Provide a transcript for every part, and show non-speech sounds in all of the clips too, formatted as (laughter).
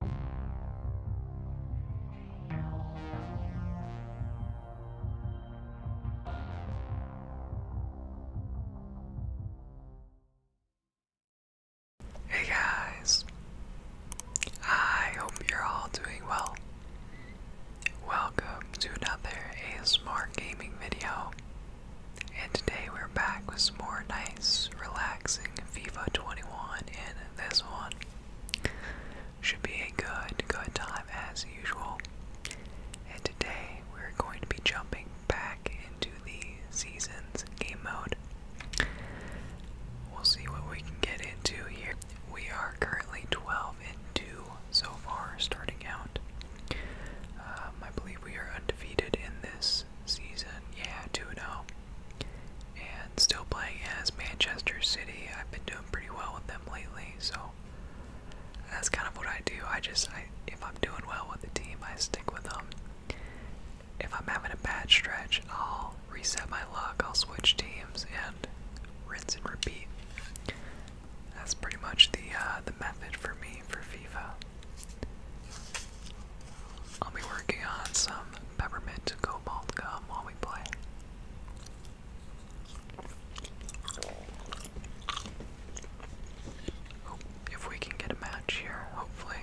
Hey guys, I hope you're all doing well. Welcome to another ASMR gaming video, and today we're back with some more nice, relaxing FIFA 21 and this one should be a good, good time as usual. And today we're going to be jumping back into the seasons game mode. We'll see what we can get into here. We are currently 12 and 2 so far, starting out. Um, I believe we are undefeated in this season. Yeah, 2 0 and still playing as Manchester City. I've been doing pretty well with them lately, so that's kind of what I do. I just, if I'm doing well with the team, I stick with them. If I'm having a bad stretch, I'll reset my luck, I'll switch teams, and rinse and repeat. That's pretty much the uh, the method for me for FIFA. I'll be working on some peppermint cobalt gum while we play. if we can get a match here, hopefully.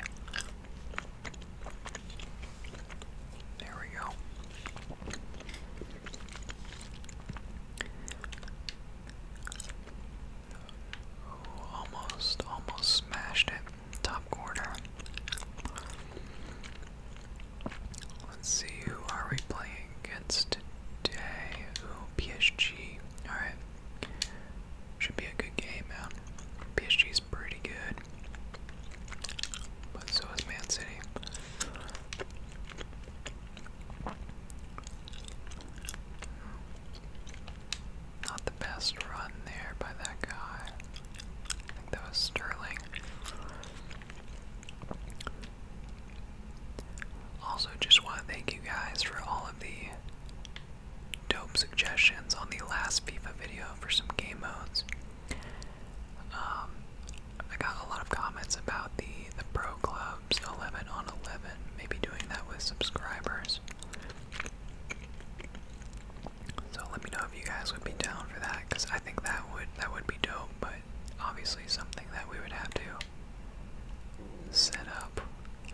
There we go. almost, almost smashed it top quarter. Let's see, who are we playing against today? Ooh, PSG. Alright. Should be a good game, man. PSG's pretty good. But so is Man City. Not the best run there by that guy. I think that was Sterling. Also, just want to thank you guys for all of the dope suggestions on the last FIFA video for some game modes. Um, I got a lot of comments about the the pro clubs 11 on 11, maybe doing that with subscribers. So let me know if you guys would be down for that, because I think that would that would be dope, but obviously something that we would have to set up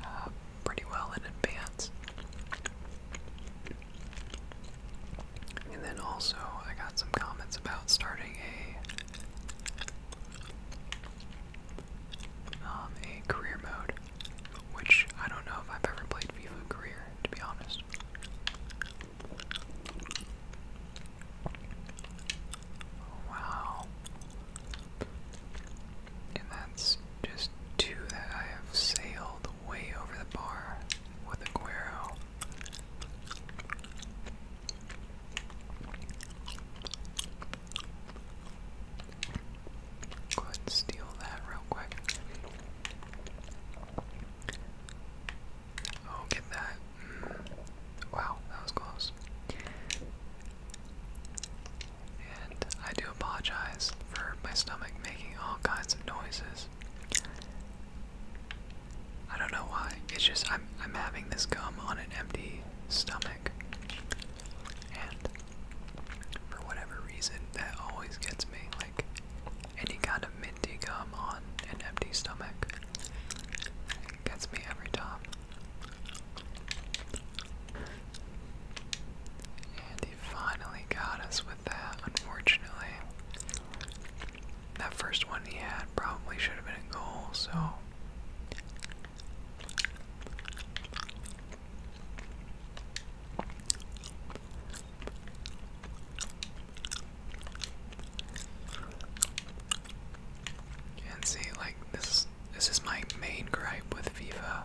uh, pretty well in advance. And then also I got some comments about starting a um, a career mode, which I don't know if I've ever played FIFA career, to be honest. Wow. And that's just two that I have sailed way over the bar with Aguero. Go ahead and steal that real quick. Oh, get that. Mm. Wow, that was close. And I do apologize for my stomach making all kinds of noises. I don't know why. It's just I'm I'm having this gum on an empty stomach and for whatever reason, that always gets me like any kind of minty gum on an empty stomach. gets me every time. And he finally got us with that, unfortunately. That first one he had probably should have been a goal, so. You see, like, this, this is my main gripe with FIFA.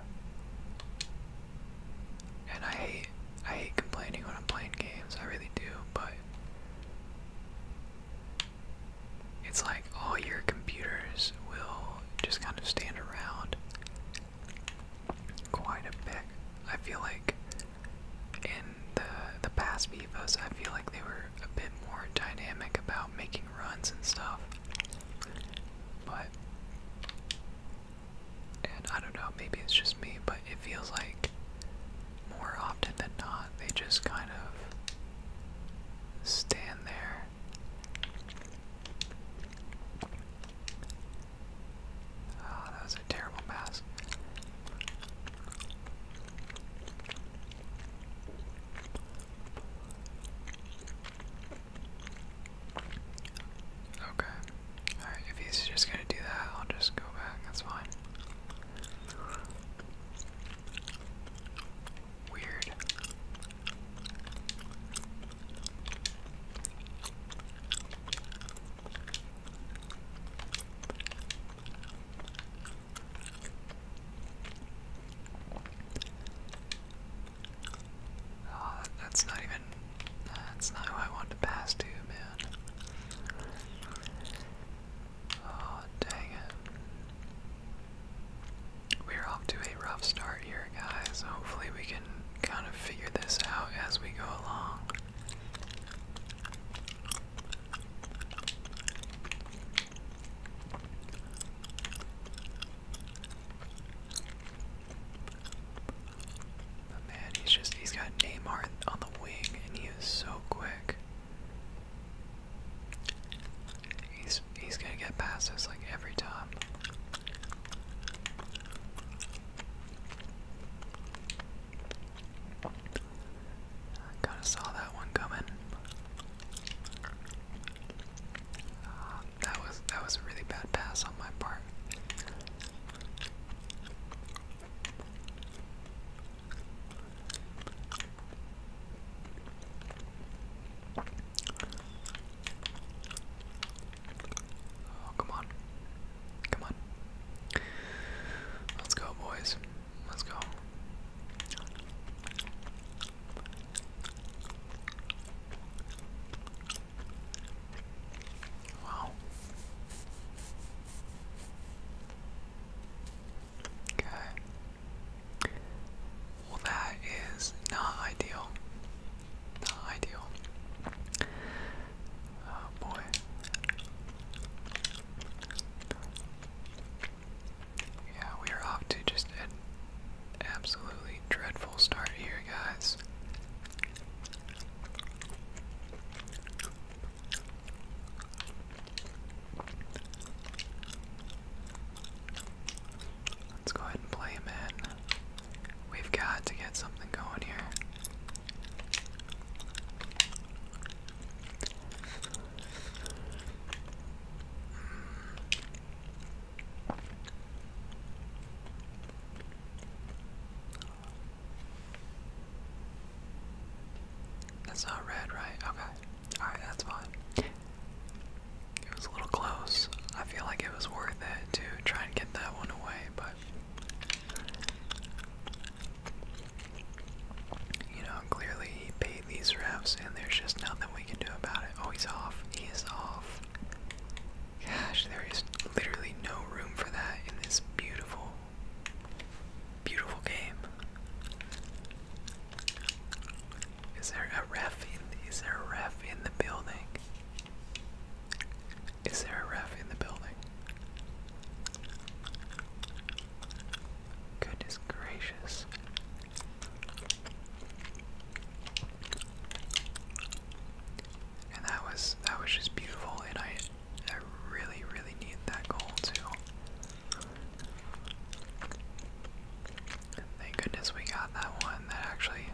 And I hate, I hate complaining when I'm playing games, I really do, but it's like all your computers will just kind of stand around quite a bit. I feel like in the the past Vivos, I feel like they were a bit more dynamic about making runs and stuff. But and I don't know, maybe it's just me, but it feels like more often than not, they just kind of stand there Oh, that was a terrible mask. Okay. Alright, if he's just gonna do that, I'll just go back. That's fine. Weird. Oh, that's not even. That's not who I wanted to pass to, man. Oh, dang it. We're off to a rough start here, guys. Hopefully, we can kind of figure this out as we go along. But man, he's just, he's got Neymar on the wing and he is so quick. He's he's gonna get past us like every time. kind of saw that one coming. that was that was a really bad pass on my part. Oh, come on. Come on. Let's go, boys. Let's go. Wow. Okay. Well, that is not ideal. Not ideal. Oh boy. Yeah, we are off to just an absolutely dreadful start here, guys. Let's go ahead and play him in. We've got to get something going here. That's not red, right? Okay. Alright, that's fine. It was a little close. I feel like it was worth it to try and get that one away, but. You know, clearly he paid these refs, and there's just nothing we can do about it. Oh, he's off. He is off. Gosh, there is literally no room for that in this beautiful, beautiful game. Is there a ref in is there a ref in the building? Is there a ref in the building? Goodness gracious. And that was that was just beautiful and I I really really need that goal too. Thank goodness we got that one. That actually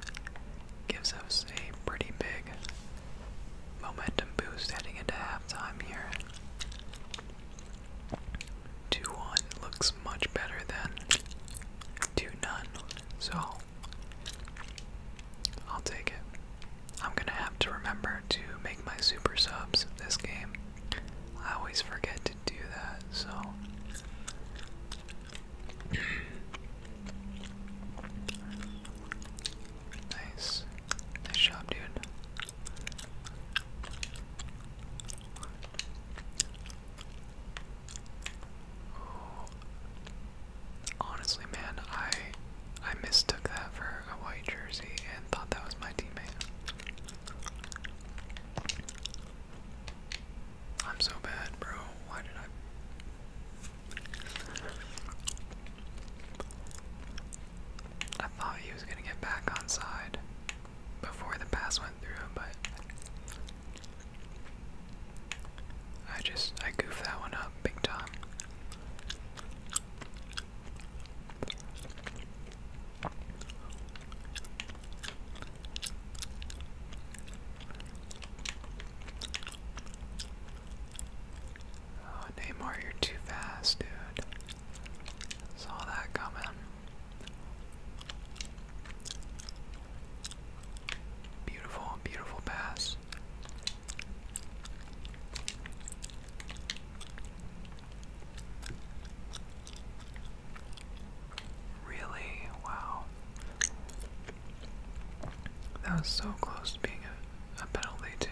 gives us a pretty big momentum boost heading into halftime here. 2 1 looks much better than 2 none. So I'll take it. I'm gonna have to remember to make my super subs this game I always forget to do that, so. (clears throat) nice. Nice job, dude. Honestly, man, I I mistook that for wear a white jersey and thought that was my teammate. I'm so bad, bro. Why did I? I thought he was gonna get back on before the pass went through, but I just I goofed that one up big time. Oh, you're too fast, dude. Saw that coming. Beautiful, beautiful pass. Really? Wow. That was so close to being a, a penalty, too.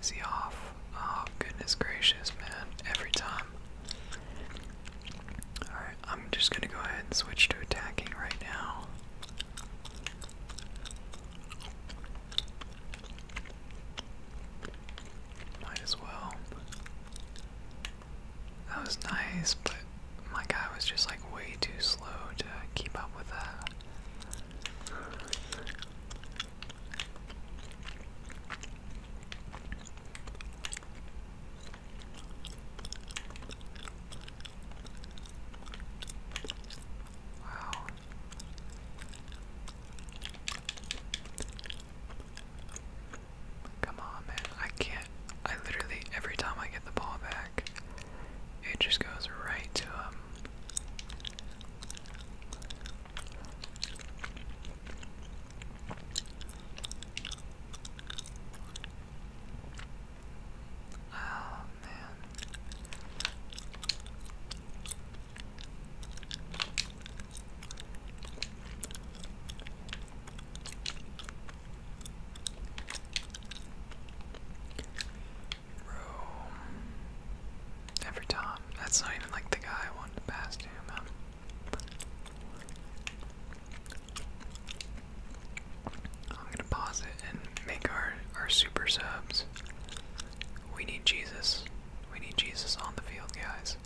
Is he off? Oh, goodness gracious, man. Every time. Alright, I'm just gonna go ahead and switch to attacking right now. Might as well. That was nice, but my guy was just like way too slow to keep up with that. Wow, Come on, man. I can't. I literally, every time I get the ball back, it just goes right to him. Oh man. Every time. That's not even like the guy I wanted to pass to, man. I'm gonna pause it and make our our super subs. We need Jesus. We need Jesus on the field, guys.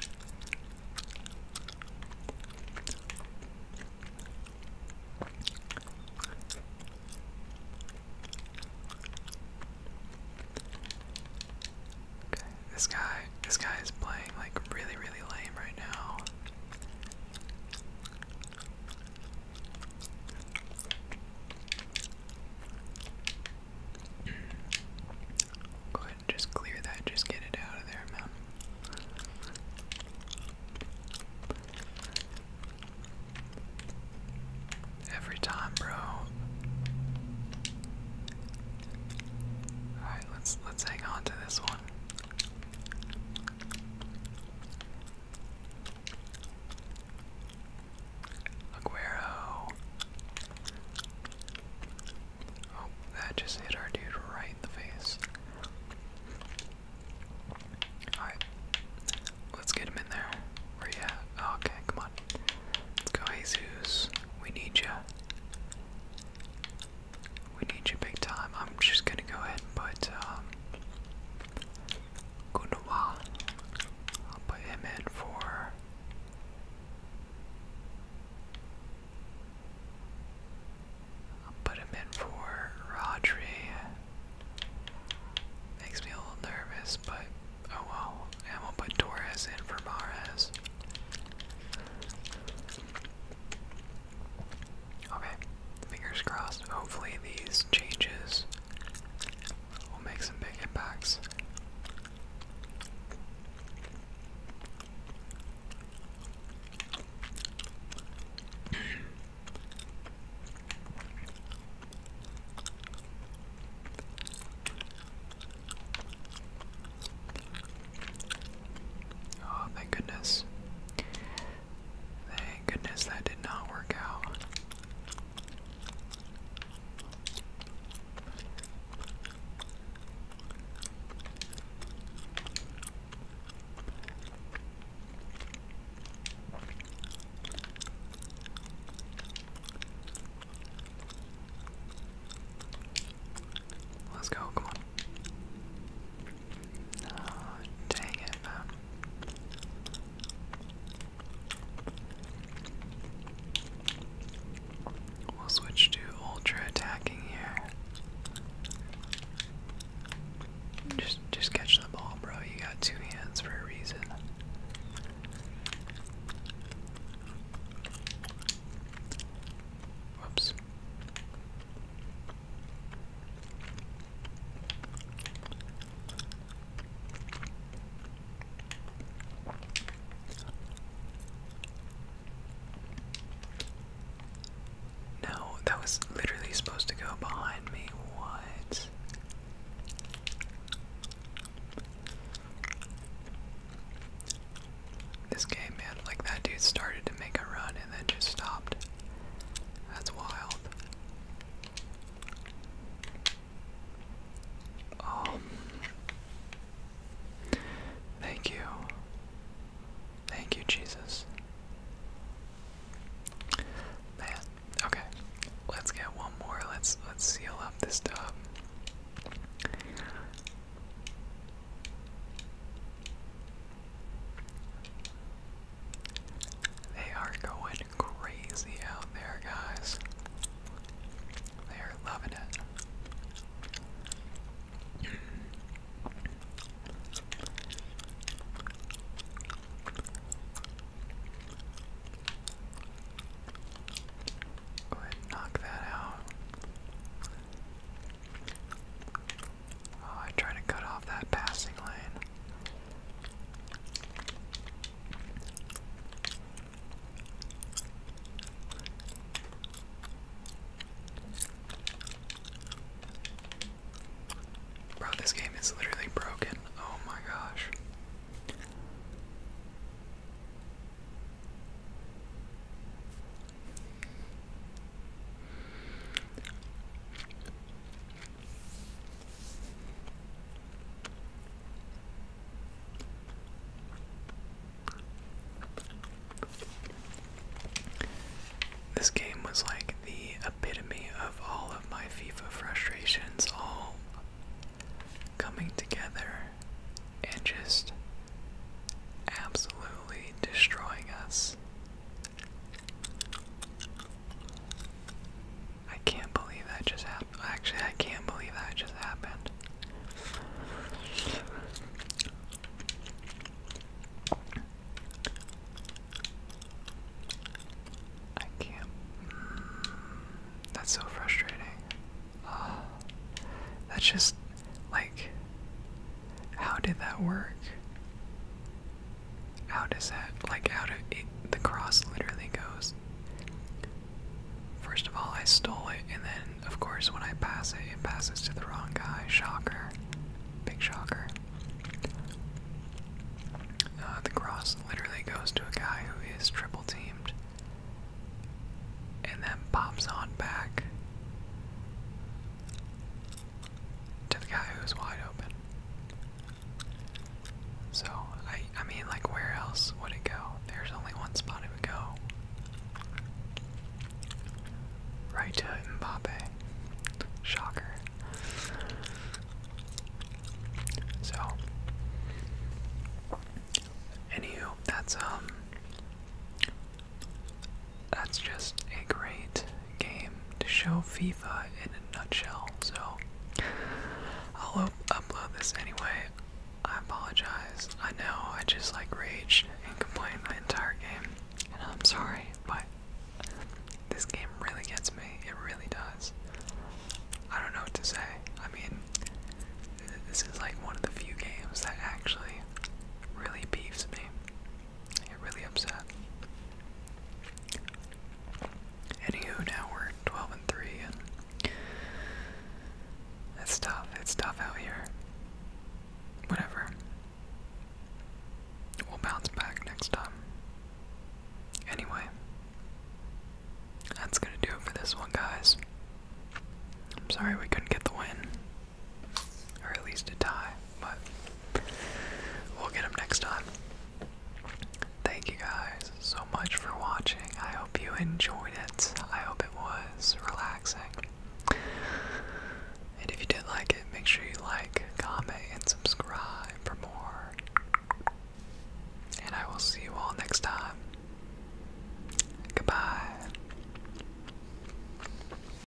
this guy, this guy is playing like really, really lame right now. Go ahead just clear that, just get it out of there, man. Every time, bro. Alright, let's let's hang on to this one. Aguero. Oh, that just hit our dude right in the face. Alright. Let's get him in there. Where you at? Oh, okay, come on. Let's go, Jesus. We need you. We need you big time. I'm just gonna go ahead and put um, Gunawa. I'll put him in for I'll put him in for Rodri. Makes me a little nervous, but oh well. And we'll put Torres in for Mares. Okay, fingers crossed. Hopefully, these changes We'll make some big impacts. (clears throat) oh, my goodness. Thank goodness that did not work out. Let's go, come on. Ah, dang it, man. We'll switch to ultra attacking here. Just just catch the ball, bro. You got two hands for a reason. Whoops. No, that was literally supposed to go behind me. What? This game, man, like that dude started to make a run and then just stopped. That's wild. Um Thank you. Thank you, Jesus. Man, okay. Let's get one more. Let's let's seal up this tub. They are going crazy out there, guys. They are loving it. Go ahead knock that out. Oh, I tried to cut off that passing lane. Bro, this game is literally broken. Oh my gosh. This game was like the epitome of all of my FIFA frustrations, all coming together and just absolutely destroying us I can't believe that just happened. Actually, I can't believe that just happened. I can't. Mm, that's so frustrating. (sighs) that's just like, how did that work? How does that, like, how it, the cross literally goes? First of all, I stole it, and then, of course, when I pass it, it passes to the wrong guy. Shocker. Big shocker. Uh, the cross literally goes to a guy who is triple teamed, and then pops on back to the guy who's wide open. So, I, I mean, like, where else would it go? There's only one spot it would go. Right to Mbappe. Shocker. So, anywho, that's, um, that's just a great game to show FIFA in a nutshell. So I'll upload this anyway. I apologize. I know I just like raged and complained my entire game, and I'm sorry, but this game really gets me. It really does. I don't know what to say. I mean, this is like one of the few games that actually really beefs me. It really upset. Anywho, now we're 12 and 3, and it's tough. It's tough out here. Whatever. We'll bounce back next time. Anyway, that's gonna do it for this one, guys. I'm sorry we couldn't get the win. Or at least a tie, but we'll get them next time. Thank you guys so much for watching. I hope you enjoyed it. I hope it was relaxing. And if you did like it, make sure you like, comment, and subscribe for more. And I will see you all next time. Goodbye.